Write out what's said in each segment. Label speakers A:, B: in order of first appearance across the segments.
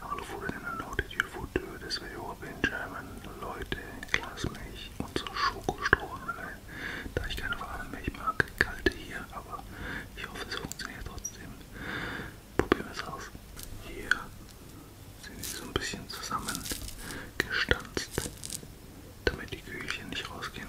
A: Alufolien lautet Jufo-Tür, das Verjoa Benjamin, Leute, Glasmilch und so Schokostrohhalme. Da ich keine warme Milch mag, kalte hier, aber ich hoffe, es funktioniert trotzdem. Probieren wir es aus. Hier sind sie so ein bisschen zusammengestanzt, damit die Kühlchen nicht rausgehen.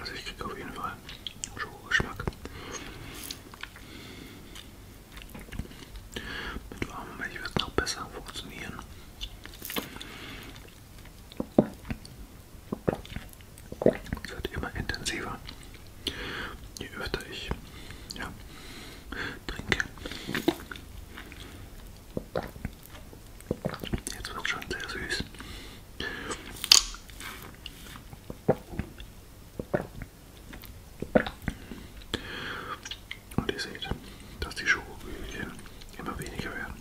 A: Also ich kriege auf jeden Fall Schokogeschmack. Mit warmer Milch wird es noch besser funktionieren. Es wird immer intensiver, je öfter ich ja, trinke. Jetzt wird es schon sehr süß. Und ihr seht, dass die Schokokügelchen immer weniger werden.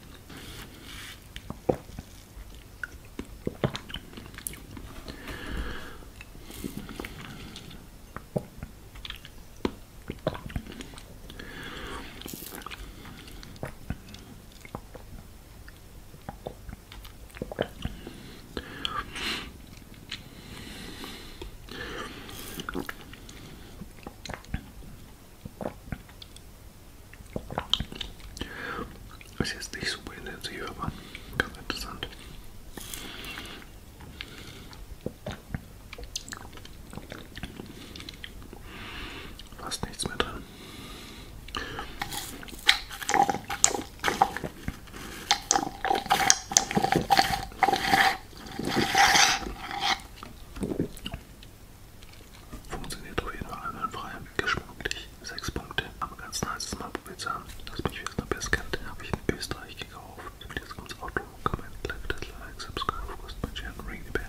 A: Ist jetzt nicht super intensiv, aber ganz interessant. Fast nichts mehr drin. Funktioniert auf jeden Fall einwandfrei, geschmacklich. 6 Punkte. Aber ganz nice, das mal probiert zu haben. Das mich jetzt noch besser kennt, habe ich in Österreich gekauft. Und jetzt kommt's Auto. Comment, like, dislike, subscribe, post, my channel, ring the bell.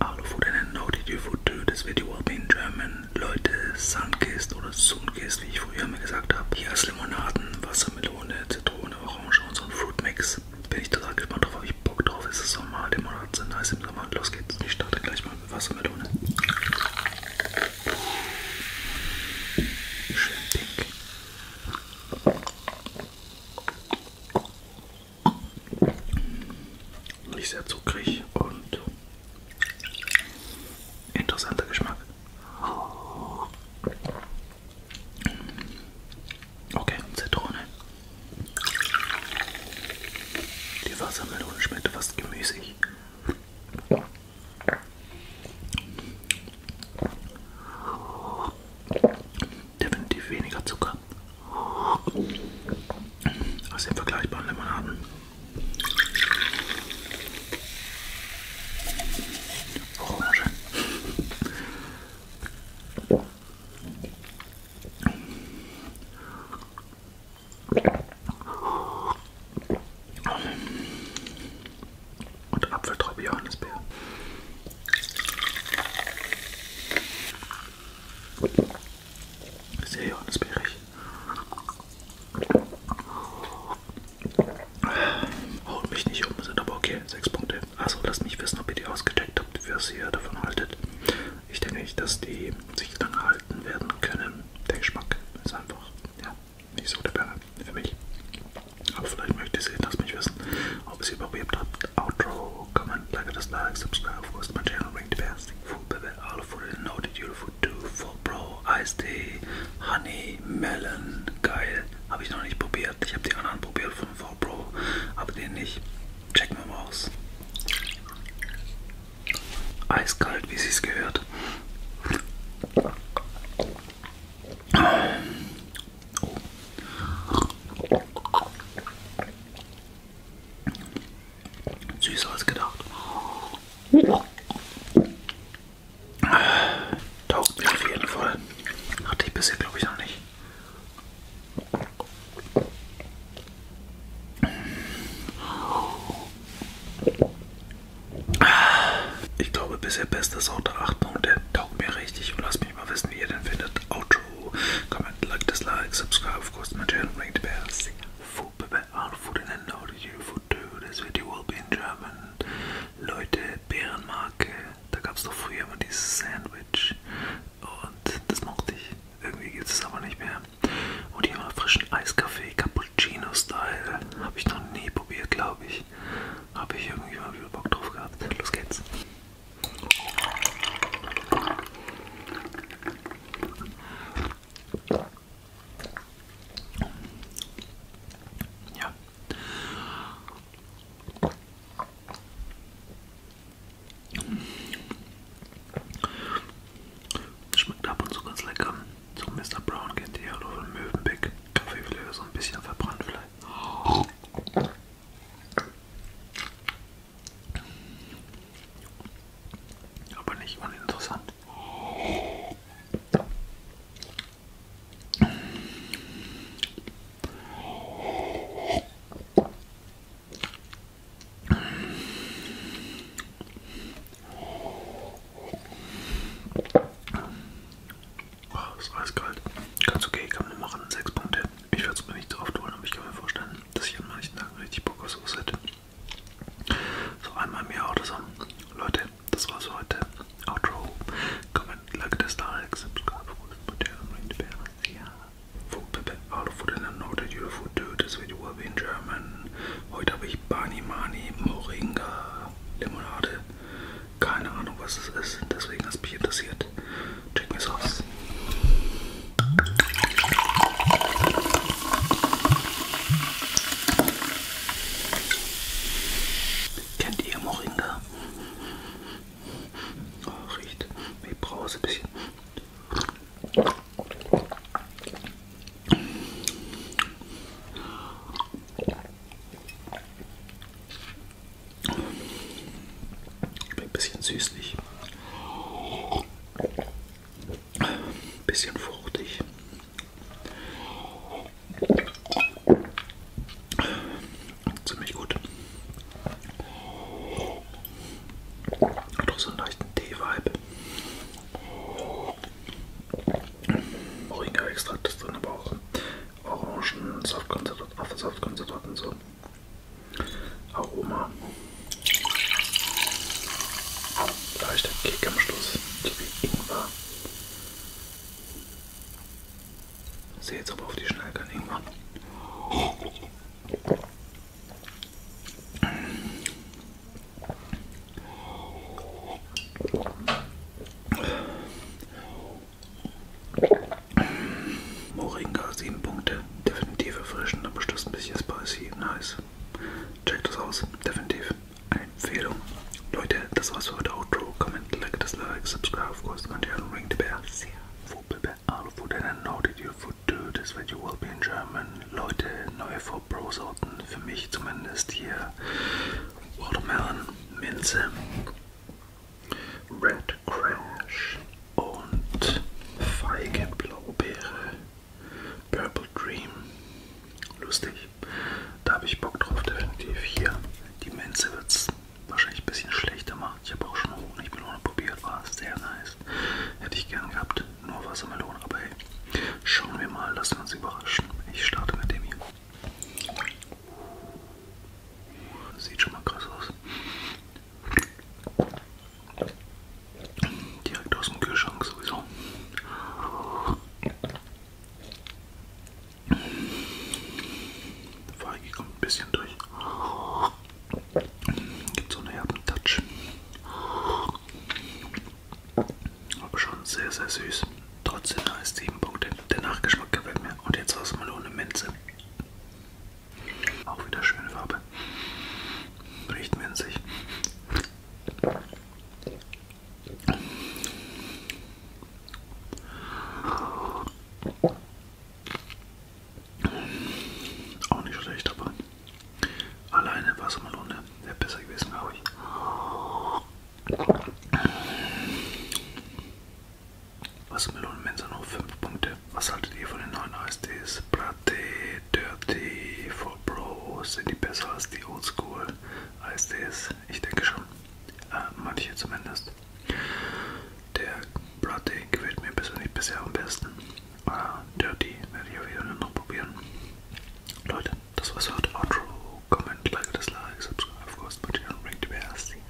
A: Alufood noted, you food too. Das Video will be in German. Leute, Sunkist oder Sunkist, wie ich früher immer gesagt habe. Hier ist Limonaden, Wassermelone, Zitrone, Orange und so ein Fruitmix. Bin ich total gespannt drauf, habe ich Bock drauf. Es ist Sommer, Limonaden sind nice im Sommer. Los geht's. Ich starte gleich mal mit Wassermelone. Schön pink. Nicht sehr zuckrig und interessanter Geschmack. Okay, Zitrone. Die Wassermelone schmeckt fast gemüsig definitiv weniger Zucker als den vergleichbaren Limonaden. Orange. Und Apfeltraube Johannisbeer. Sehr johannisbeerig. Haut mich nicht um, sind aber okay. 6 Punkte. Also lasst mich wissen, ob ihr die ausgecheckt habt, was ihr davon haltet. Ich denke nicht, dass die sich lange halten werden können. Der Geschmack ist einfach ja, nicht so der Bär für mich. Aber vielleicht möchtet ihr das mich wissen, ob ihr es überlebt habt. Outro follow, comment, like, dislike, subscribe, of course, to my channel, ring the bell, sing food, baby, all food is noted, beautiful, too, full pro, iced tea, honey, melon, geil, habe ich noch nicht probiert, ich habe die anderen probiert von 4 Pro, aber den nicht, checken wir mal aus. Eiskalt, wie sie es gehört. Oh. Süßer als gedacht. Taugt mir auf jeden Fall. Hatte ich bisher, glaube ich, noch nicht. Ich glaube, bisher bestes Auto 8 Punkte. Taugt mir richtig und lasst mich mal wissen, wie ihr den findet. Outro comment, like, dislike, subscribe, of course, to my channel, ring the bell, sing food, all food, and then know that you food too. This video will be in German. Leute, Bärenmarke, da gab es doch früher immer dieses Sandwich und das mochte ich. Irgendwie gibt es aber nicht mehr. Und hier mal frischen Eiskaffee, Cappuccino-Style. Habe ich noch nie probiert, glaube ich. Habe ich irgendwie mal wieder Bock drauf gehabt. Los geht's. Ja. Schmeckt ab und zu ganz lecker. So Mr. Brown kennt ihr ja oder Möwenbeck. Kaffeeflecker so ein bisschen verbrannt vielleicht. Aber nicht uninteressant. Oh, ist alles kalt. Ganz okay, kann man machen. Sechs Punkte. Ich würde es mir nicht drauf tun, aber ich kann mir vorstellen, dass ich an manchen Tagen richtig Bock auf sowas hätte. So einmal im Jahr oder so. Leute, das war's für heute. Outro. Comment, like this, like, subscribe, ring the bell. Yeah. Food, Pepe, Alu, Food and I know that you food too. This video will be in German. Heute habe ich Bani Mani Moringa Limonade. Keine Ahnung, was es ist. Deswegen ist mich interessiert. Zeit. Chicken Sauce. Kennt ihr Moringa? Oh, riecht wie Brause ein bisschen. Schmeckt ein bisschen süßlich. Ein bisschen fruchtig. Ziemlich gut. Hat auch so einen leichten Tee-Vibe. Moringa-Extrakt ist drin, aber auch Orangen, Saftkonzentrat, Apfelsaftkonzentrat und so. Aroma. Leichter Kick am Schluss, wie Ingwer. Ich sehe jetzt aber auf die Schnelle kein Ingwer. Moringa 7 Punkte, definitiv erfrischend, aber bestimmt ein bisschen spicy, nice. Checkt das aus, definitiv eine Empfehlung. Leute, das war's für heute Outro. Comment, like das like, subscribe, of course, the channel, ring the bell. See ya. For prepare all food and I know that you food too, this video will be in German. Leute, neue for Pro Sorten, für mich zumindest hier Watermelon, Minze. Red Crash und Feige Blaubeere, Purple Dream. Lustig. Da habe ich Bock drauf, definitiv hier. Die Menze wird es wahrscheinlich ein bisschen schlechter machen. Ich habe auch schon Honigmelone probiert, war sehr nice. Hätte ich gern gehabt, nur Wassermelone, aber hey, schauen wir mal, lassen wir uns überraschen. Ich starte mit dem hier. Sieht schon mal krass aus. Direkt aus dem Kühlschrank sowieso. Feige kommt ein bisschen durch. Gibt so einen herben Touch. Aber schon sehr, sehr süß. Trotzdem nice 7 Punkte. Der Nachgeschmack gefällt mir. Und jetzt war es mal ohne Minze. Auch wieder schöne Farbe. Riecht minzig. Auch nicht schlecht, aber alleine Wassermelone wäre besser gewesen, glaube ich. Wassermelonenmensa nur 5 Punkte. Was haltet ihr von den neuen ASDs? Bratte, Dirty, For Pro, sind die besser als die Oldschool ASDs? Ich denke schon. Äh, manche zumindest. Der Bratte gefällt mir persönlich bisher am besten. Äh, Dirty werde ich auf jeden Fall noch probieren. Leute, das war's heute. Outro, Comment, Like, Dislike, Subscribe, of course, but you don't ring the bell.